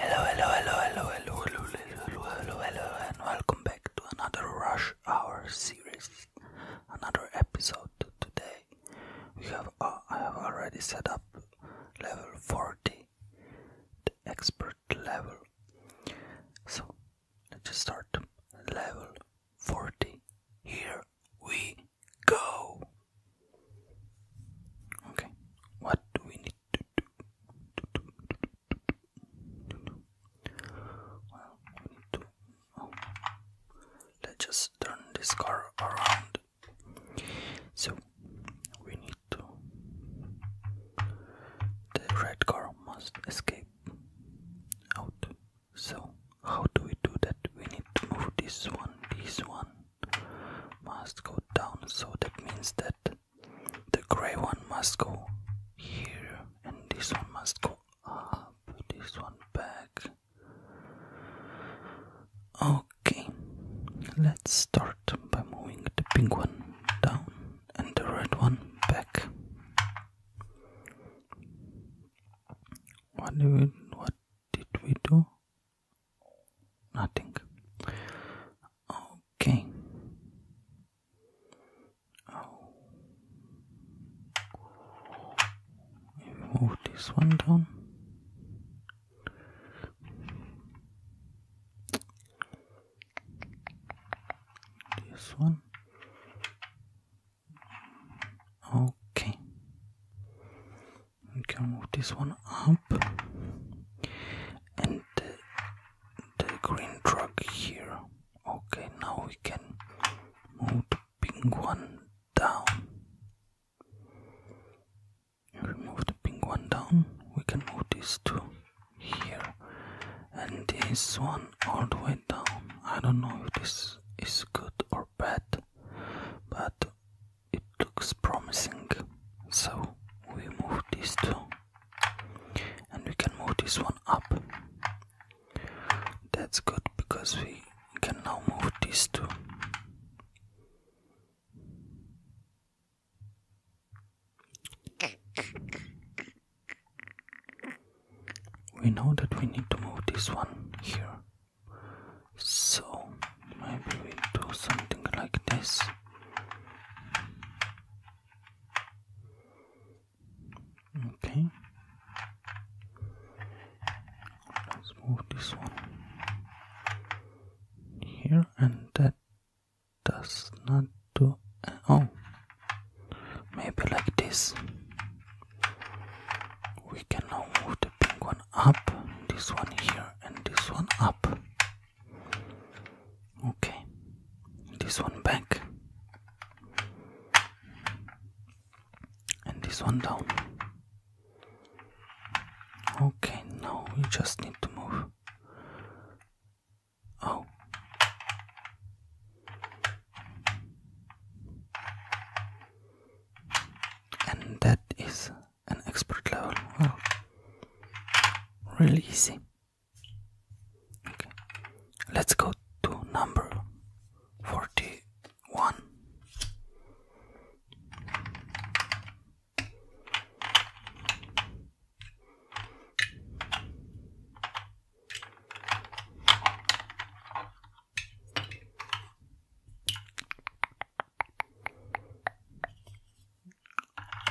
Hello, hello, hello, hello, hello, hello, hello, hello, hello, and welcome back to another Rush Hour series, another episode. Today, we have uh, I have already set up level forty, the expert level. So let's just start level forty. Here we go. Okay, what do we need to do? Well, oh. Let's just turn this car around. So we need to. The red car must escape out. So, how do we do that? We need to move this one, this one, must go down, so that means that the gray one must go here, and this one must go up, this one back. Okay, let's start by moving the pink one down and the red one back. What did we, do? nothing okay oh. move this one down this one okay we can move this one up and the, green truck here okay now we can move the pink one down if we move the pink one down we can move this two here and this one all the way down i don't know if this is good or bad but it looks promising so we move these two and we can move this one up that's good because we can now move these two we know that we need to move this one here so maybe we do something like this okay let's move this one here and that does not do uh, oh maybe like this we can now move the pink one up this one here and this one up Okay, this one back and this one down. Okay, now you just need to move. Oh. And that is an expert level. Well, really easy. Okay, let's go to number 41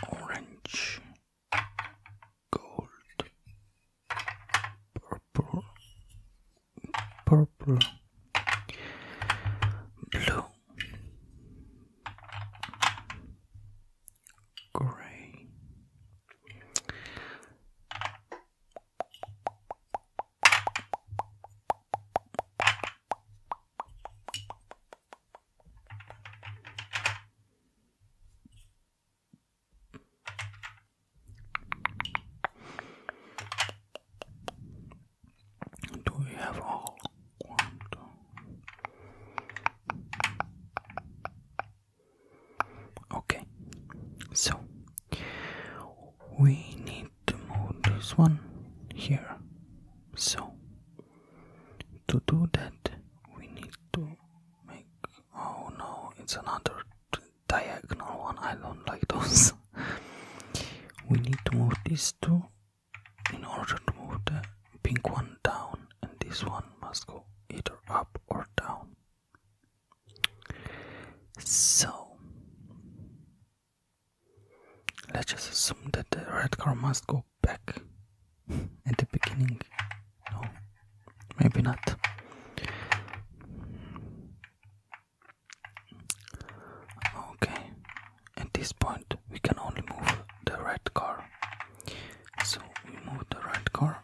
orange, gold, purple, purple, blue, gray. Do we have all? Okay, so we need to move this one here. So to do that we need to make oh no it's another diagonal one i don't like those we need to move these two in order to move the pink one down and this one must go either up or down so Let's just assume that the red car must go back at the beginning. No, maybe not. Okay, at this point we can only move the red car. So we move the red car.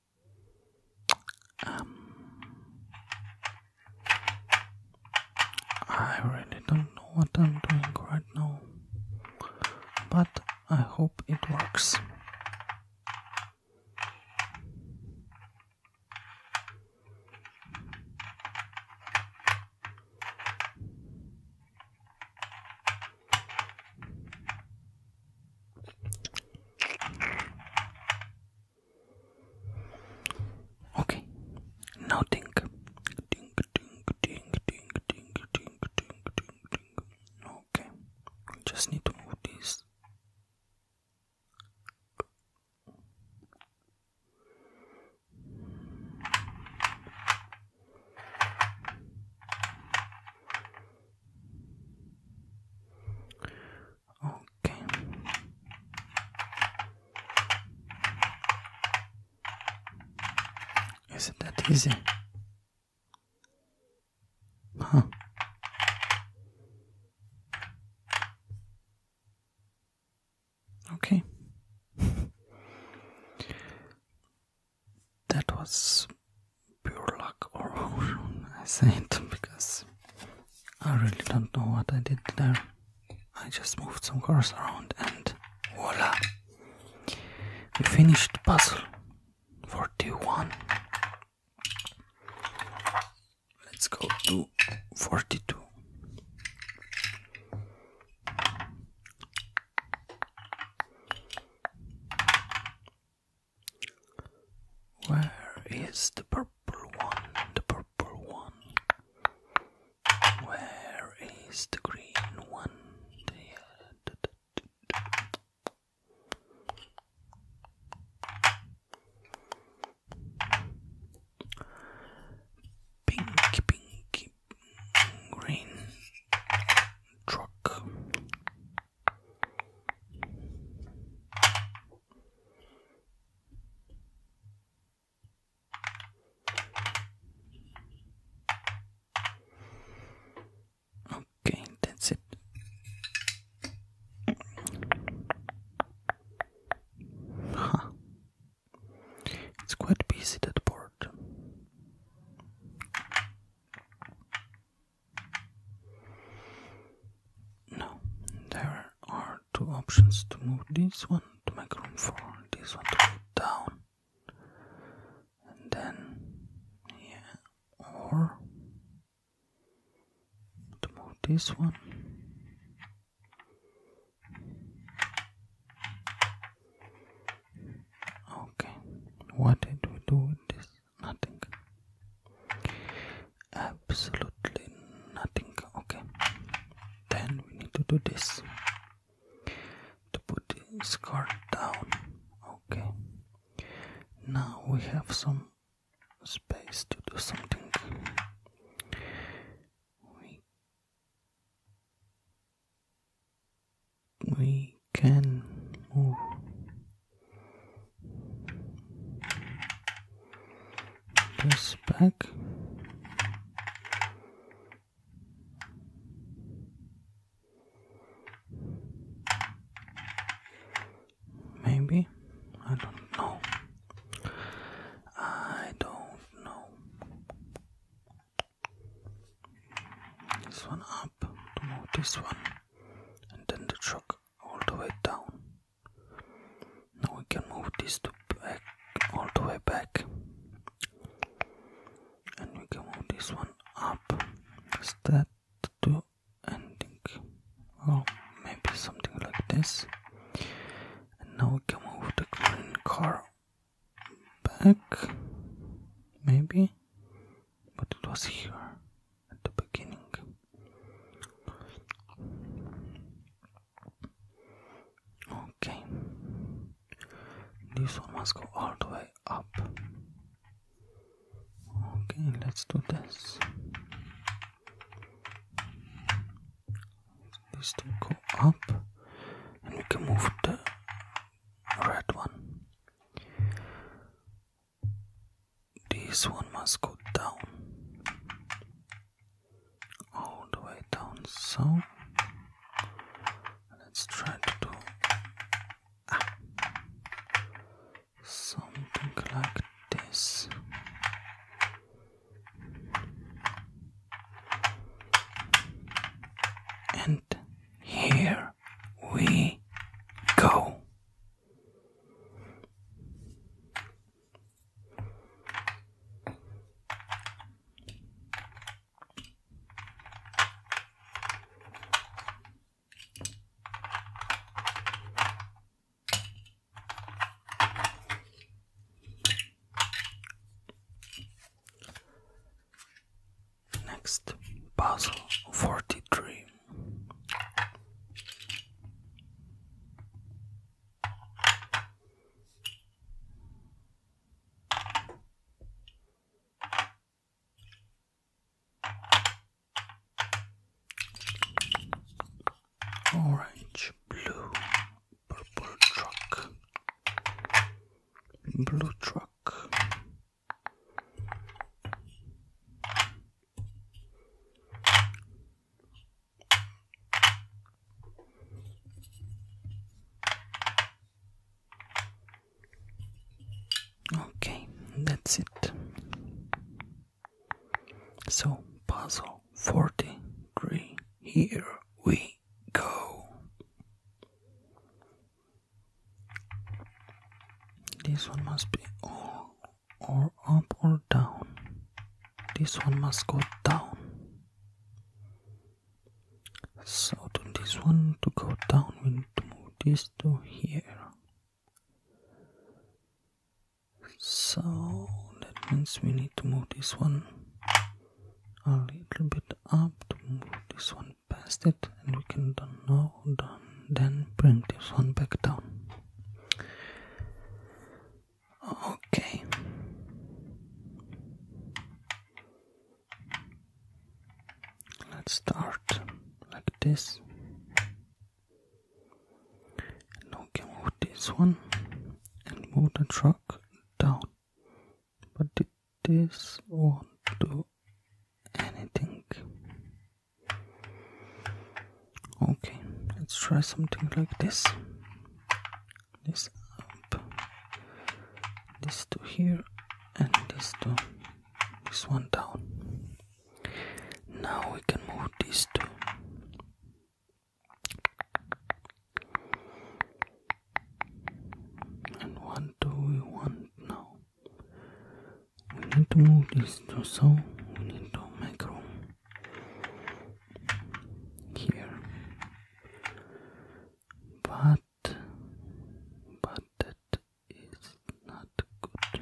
Um, I really don't know what I'm doing right now, but I hope it works. Okay, now think. Think, think, think, think, think, think, think, think, think. Okay, we just need to move this. Okay. Is it that easy? Huh. Okay. that was pure luck or I say it because I really don't know what I did there. I just moved some cars around and voila! We finished the puzzle. 41. Let's go to 42. Where is the purple one? The purple one. Where is the green one? Pinky, pinky, green truck. Okay, that's it. Huh. It's quite busy that board. No, there are two options to move this one to make room for this one to go down, and then, yeah, or to move this one. Okay, what did we do with this? nothing absolutely nothing okay then we need to do this to put this card down okay now we have some space to do something we we can move this back. Maybe? I don't know. I don't know. This one up to this one and then the truck all the way down. Now we can move this to back all the way back. And we can move this one up. Start to ending. Or maybe something like this. And now we can move the green car back. Maybe. But it was here at the beginning. Okay, this one must go all the way up. Okay, let's do this. These two go up, and we can move the red one. This one must go down, all the way down. So let's try to do ah, something like this. And here we go. Next, puzzle forty three. Orange, blue, purple truck, blue truck. Okay, that's it. So, puzzle 43, here we go. This one must be or up or down this one must go down so to this one to go down we need to move this to here so that means we need to move this one a little bit up to move this one past it and we can don't well done. Then bring this one back down. Okay. Let's start like this. And now move this one and move the truck down. But this won't do anything okay let's try something like this this up this to here and this to this one down now we can move these two and what do we want now we need to move this to so we need to make room here. But but that is not good.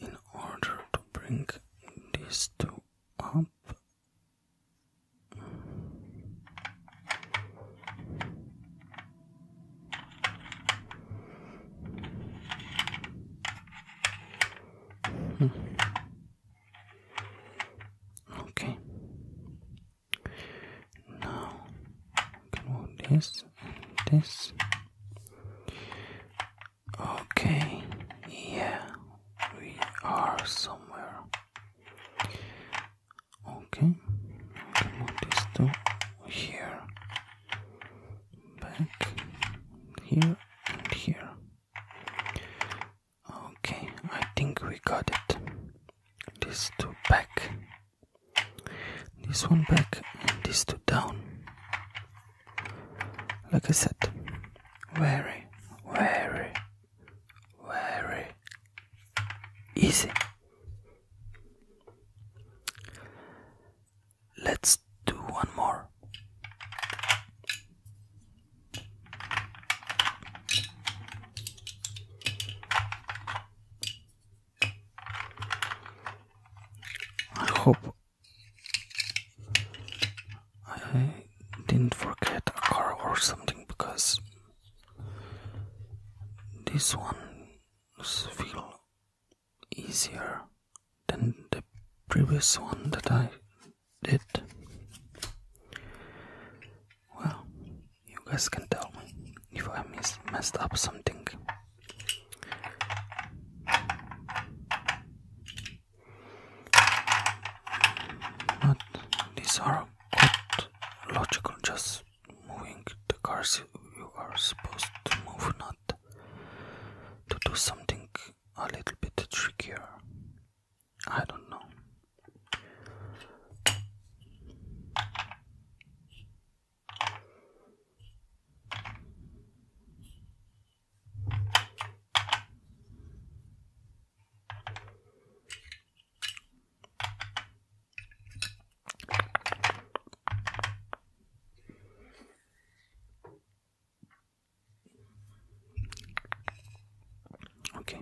in order to bring these two up, hmm. okay now we can move this and this. Okay, yeah, we are somewhere. Okay, we can move this to here, back here and here. Okay, I think we got it. These two back, this one back, and these two down. Like I said, very, very, very easy. Let's do one more. I hope I didn't forget a car or something because this one feels easier than the previous one that I did. Well, you guys can tell me if I miss, messed up something. But these are quite logical, just moving the cars you are supposed to move, not to do something a little bit trickier. I don't know. Okay,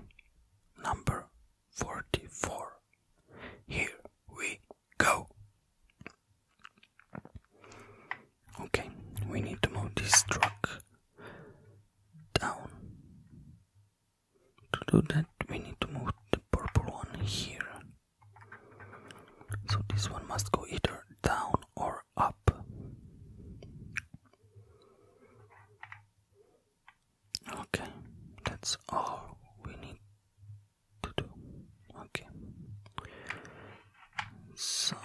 number 44. Here we go. Okay, we need to move this truck down. To do that, we need to move the purple one here. So this one must go either down or up. Okay, that's all we need to do. Okay, so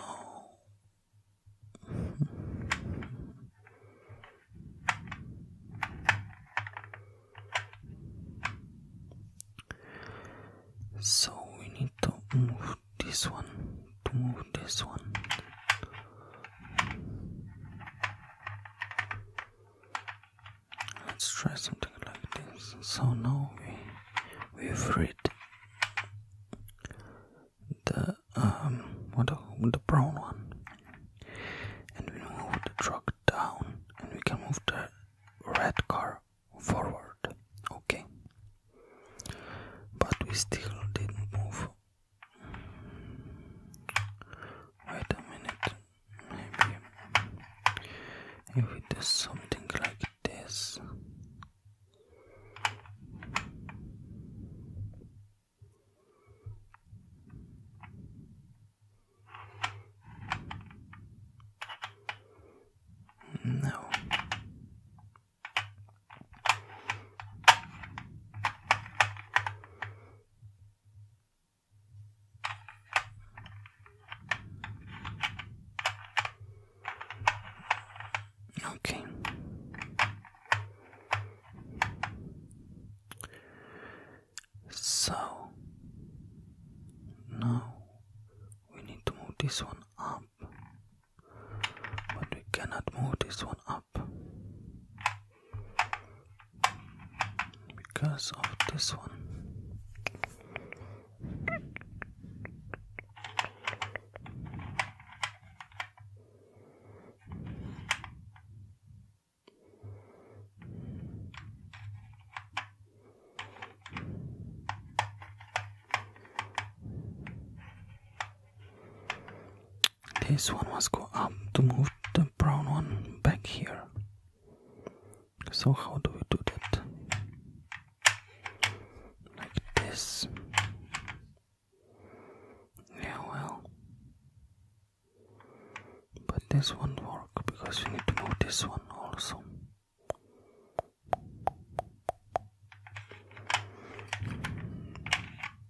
so we need to move this one to move this one. Let's try something like this. So now we we've read the um what the, brown one, and we move the truck down, and we can move the red car forward. Okay, but we still didn't move Wait a minute, maybe if we do something like this. No. Okay. So now we need to move this one up, but we cannot move this one up because of this one. This one must go up to move the brown one back here. So how do we do that? Like this. Yeah, well. But this won't work because we need to move this one also.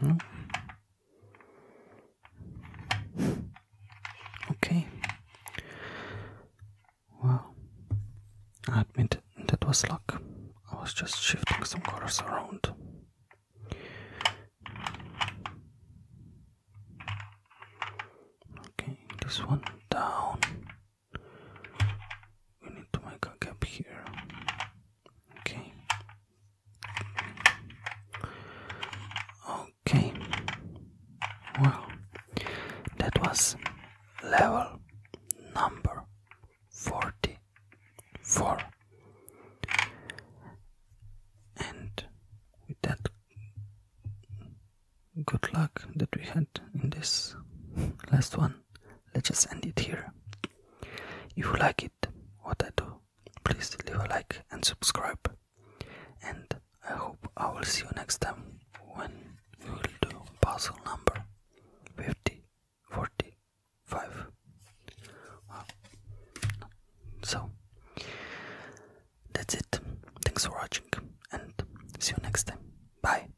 No? Hmm. Okay. Well, I admit that was luck. I was just shifting some colors around. Okay, this one down we need to make a gap here okay okay well that was level number 44 and with that good luck that we had in this last one let's just end it here. If you like it, what I do, please leave a like and subscribe. And I hope I will see you next time when we will do puzzle number 50, 45. So, that's it. Thanks for watching and see you next time. Bye.